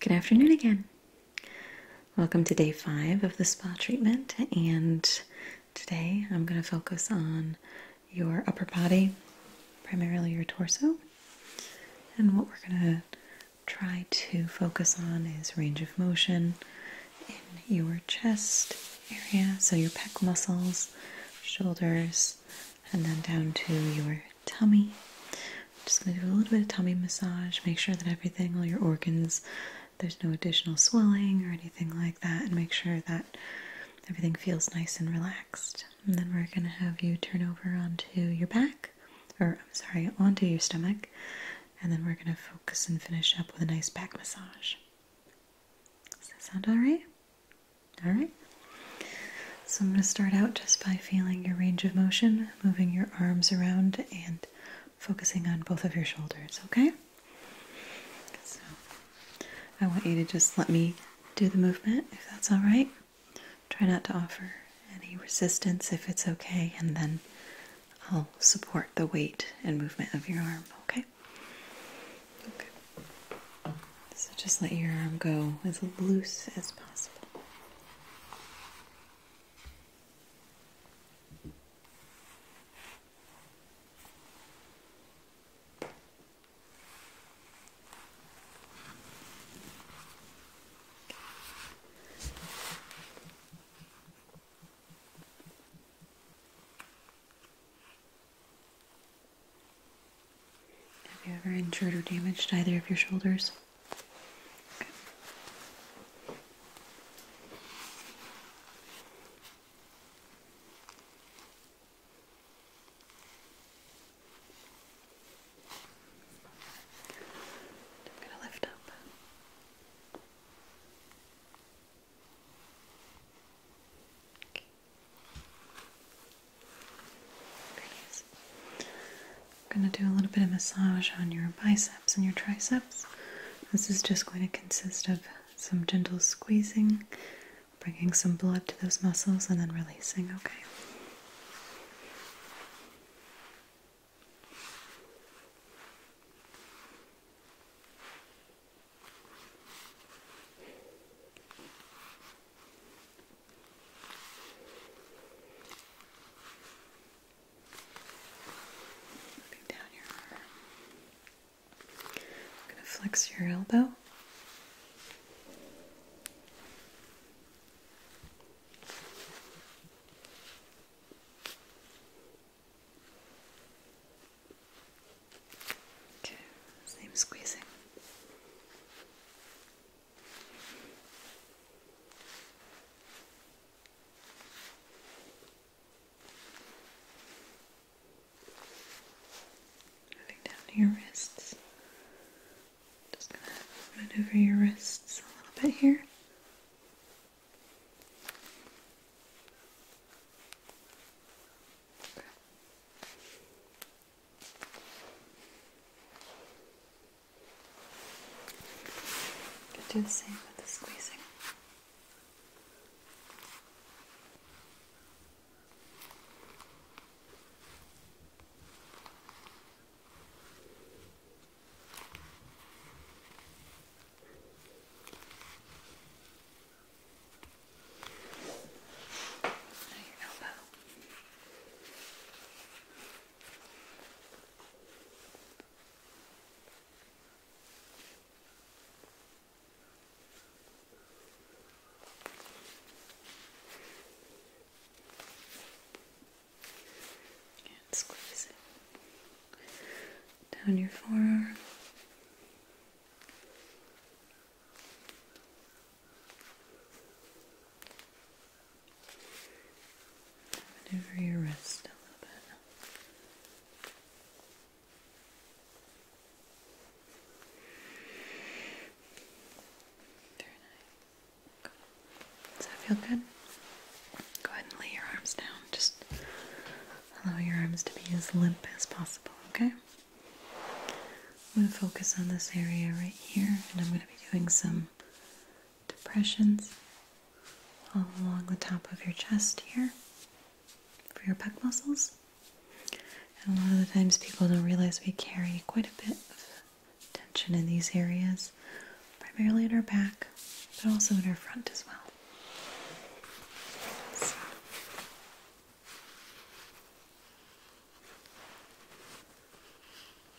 Good afternoon again. Welcome to day five of the spa treatment, and today I'm going to focus on your upper body, primarily your torso. And what we're going to try to focus on is range of motion in your chest area, so your pec muscles, shoulders, and then down to your tummy. Just going to do a little bit of tummy massage, make sure that everything, all your organs, there's no additional swelling or anything like that, and make sure that everything feels nice and relaxed. And then we're going to have you turn over onto your back, or I'm sorry, onto your stomach, and then we're going to focus and finish up with a nice back massage. Does that sound alright? Alright. So I'm going to start out just by feeling your range of motion, moving your arms around and focusing on both of your shoulders, okay? So I want you to just let me do the movement if that's all right. Try not to offer any resistance if it's okay, and then I'll support the weight and movement of your arm, okay? Okay. So just let your arm go as loose as possible. Have you ever injured or damaged either of your shoulders? I'm going to lift up. Okay. There it is. I'm going to do a little bit of massage on your biceps and your triceps. This is just going to consist of some gentle squeezing, bringing some blood to those muscles, and then releasing, okay? Moving down your arm. going to flex your elbow. Okay, same squeezing. Moving down to your wrists. Just gonna maneuver your wrists a little bit here. You do the same with the squeezing. Now your elbow. And squeeze it down your forearm over your wrist a little bit. Very nice. Does that feel good? Go ahead and lay your arms down. Just allow your arms to be as limp as possible, okay? I'm going to focus on this area right here, and I'm going to be doing some depressions all along the top of your chest here for your pec muscles. And a lot of the times people don't realize we carry quite a bit of tension in these areas, primarily in our back, but also in our front as well.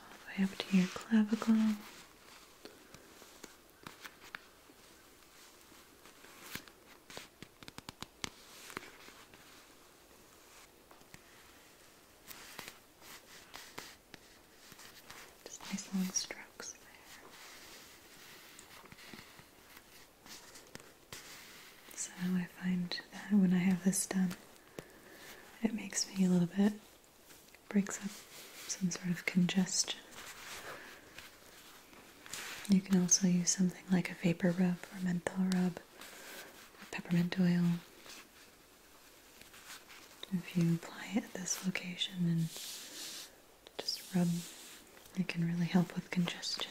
All the way up to your clavicle. Just nice long strokes there. So I find that when I have this done, it makes me a little bit, breaks up some sort of congestion. You can also use something like a vapor rub or menthol rub, or peppermint oil, if you apply it at this location and just rub, it can really help with congestion.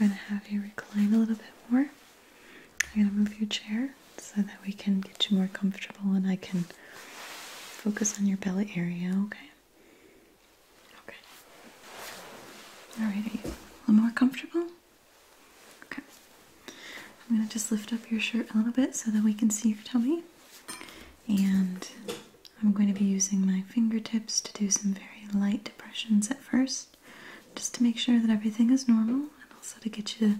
I'm going to have you recline a little bit more. I'm going to move your chair so that we can get you more comfortable and I can focus on your belly area, okay? Okay. Alright, a little more comfortable? Okay. I'm going to just lift up your shirt a little bit so that we can see your tummy. And I'm going to be using my fingertips to do some very light depressions at first, just to make sure that everything is normal and also to get you to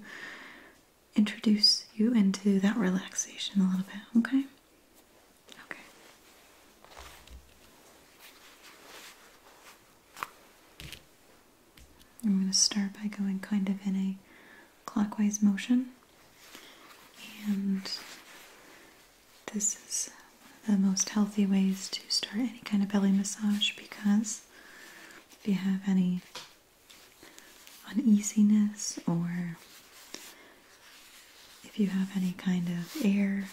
introduce you into that relaxation a little bit, okay? Okay. I'm going to start by going kind of in a clockwise motion. And this is the most healthy ways to start any kind of belly massage because if you have any uneasiness or if you have any kind of air,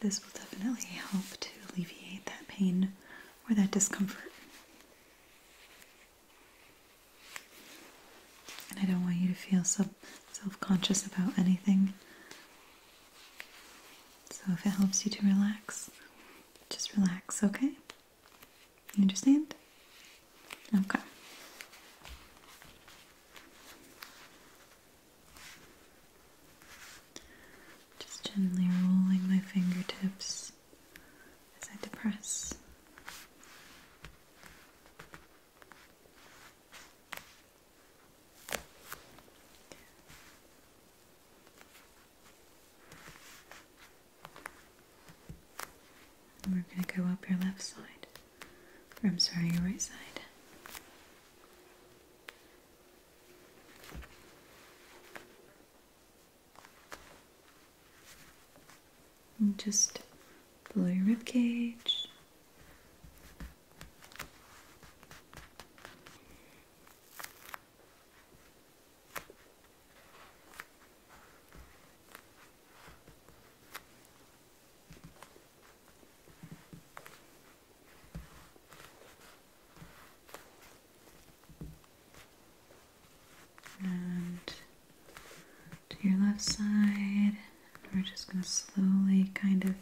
this will definitely help to alleviate that pain or that discomfort. And I don't want you to feel so self conscious about anything. So if it helps you to relax, just relax, okay? understand? Okay. Just gently rolling my fingertips fingers as I depress. we're going to go up your left side, I'm sorry, your right side just below your rib cage to your left side. We're just going to slowly kind of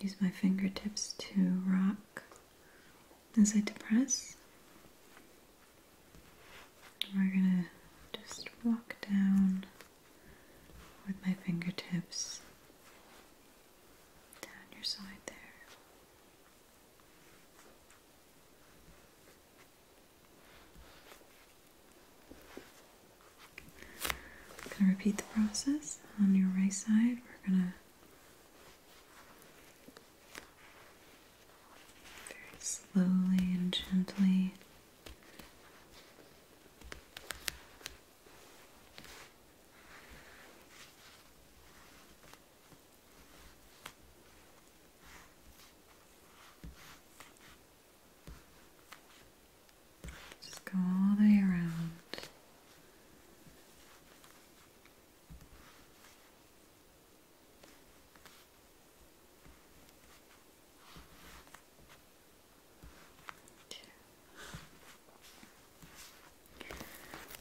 use my fingertips to rock as I depress. We're going to just walk down with my fingertips down your side there. I'm going to repeat the process on your right side. We're going to very slowly and gently just go all the way around.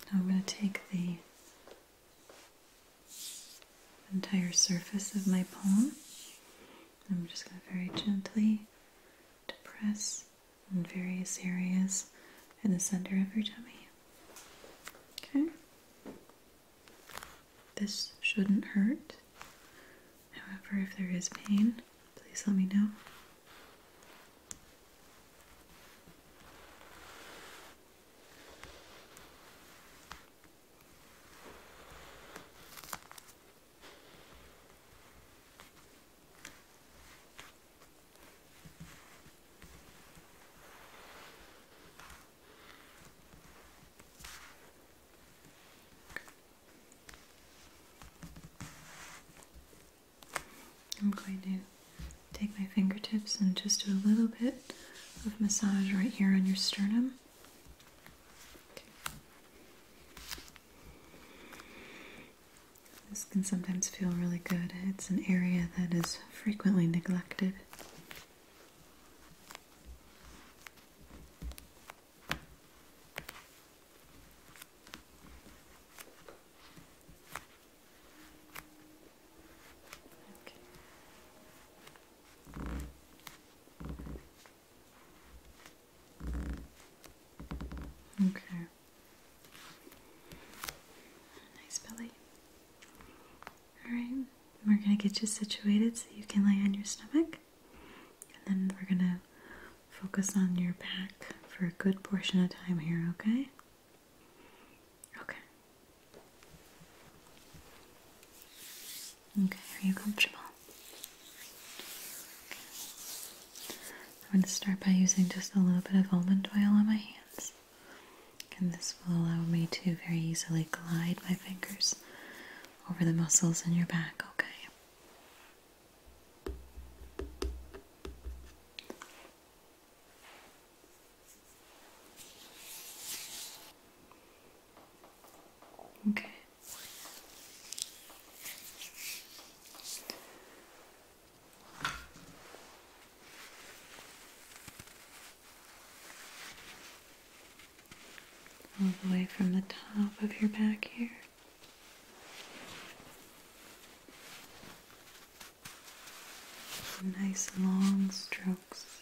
Now I'm going to take the entire surface of my palm. I'm just going to very gently depress various areas in the center of your tummy. Okay? This shouldn't hurt. However, if there is pain, please let me know. I'm going to take my fingertips and just do a little bit of massage right here on your sternum. This can sometimes feel really good. It's an area that is frequently neglected. Okay. Okay. Nice belly. Alright, we're going to get you situated so you can lay on your stomach. And then we're going to focus on your back for a good portion of time here, okay? Okay. Okay, are you comfortable? I'm going to start by using just a little bit of almond oil on my hands. And this will allow me to very easily glide my fingers over the muscles in your back, okay? Okay. All the way from the top of your back here. Nice long strokes.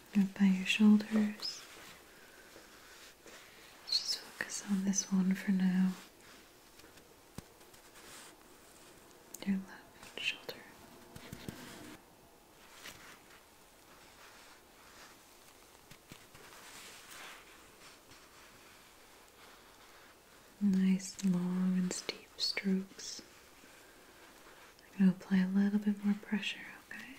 up by your shoulders. Just focus on this one for now. Your left shoulder. Nice long and steep strokes. I'm going to apply a little bit more pressure, okay?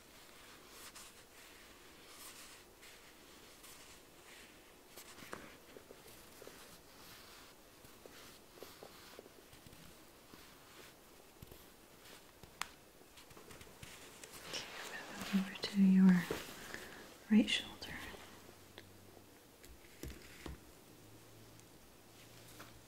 Okay, over to your right shoulder.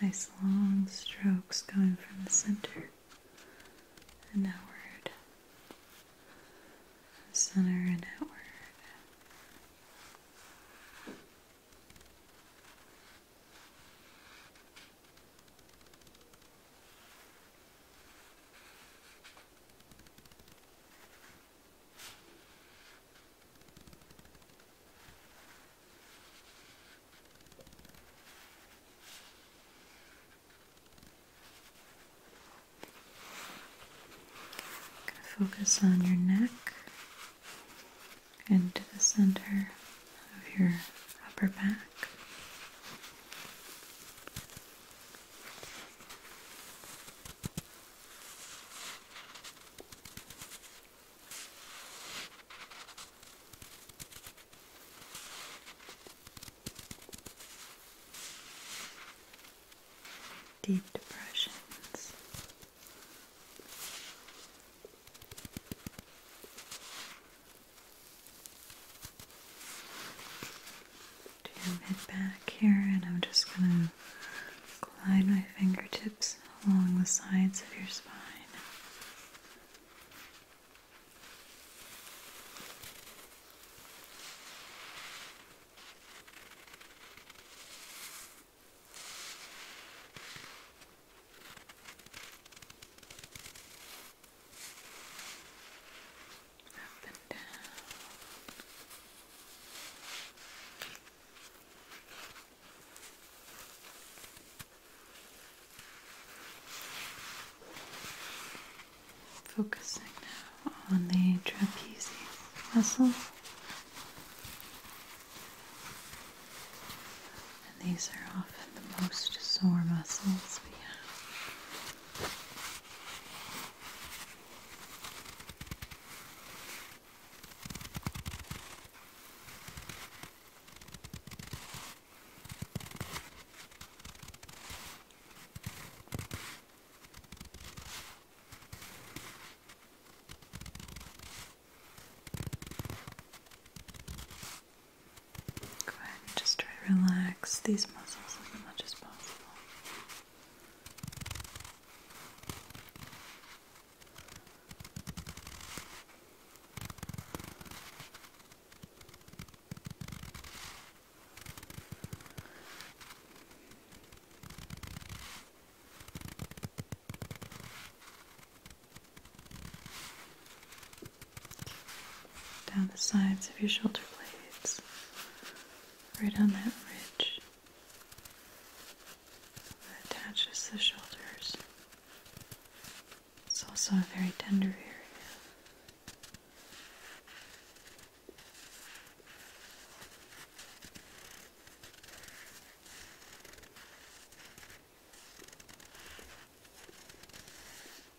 Nice long strokes going from the center and outward, center and outward. Focus on your neck and to the center of your upper back. Deep depressions to head back here, and I'm just gonna glide my fingertips along the sides of your spine. Up and down. Focusing now on the trapezius muscle. And these are often the most sore muscles we have. Go ahead and just try to relax these muscles as much as possible down the sides of your shoulder blades right on that ridge that attaches the shoulders. It's also a very tender area. Okay,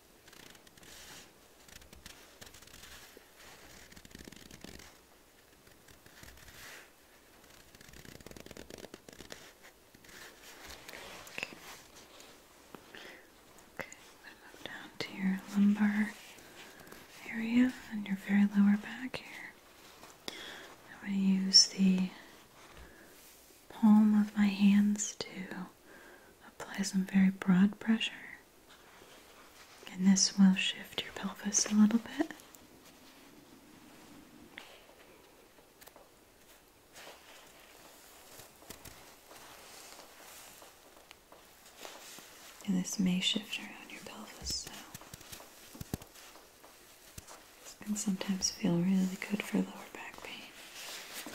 I'm gonna down to your lumbar area and your very lower back here. I'm going to use the palm of my hands to apply some very broad pressure. And this will shift your pelvis a little bit. And this may shift around your pelvis, so this can sometimes feel really good for lower back pain.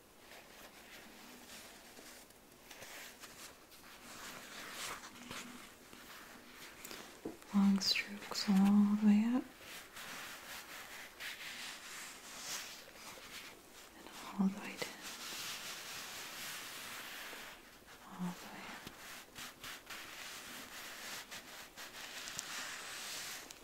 Long strokes all the way up and all the way down. All the way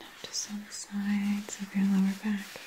Now just on the sides of your lower back here.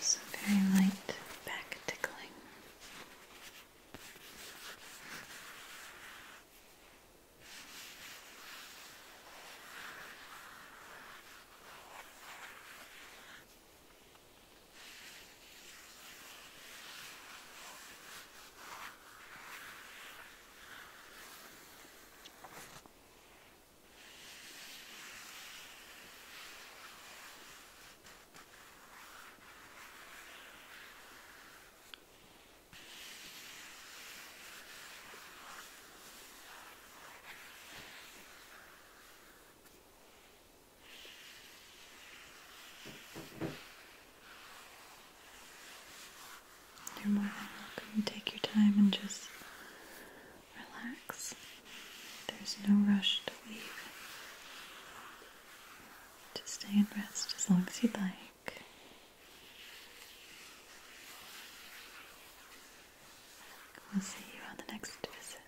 Some very light back tickling. You're more than welcome. Take your time and just relax. There's no rush to leave. Just stay and rest as long as you'd like. We'll see you on the next visit.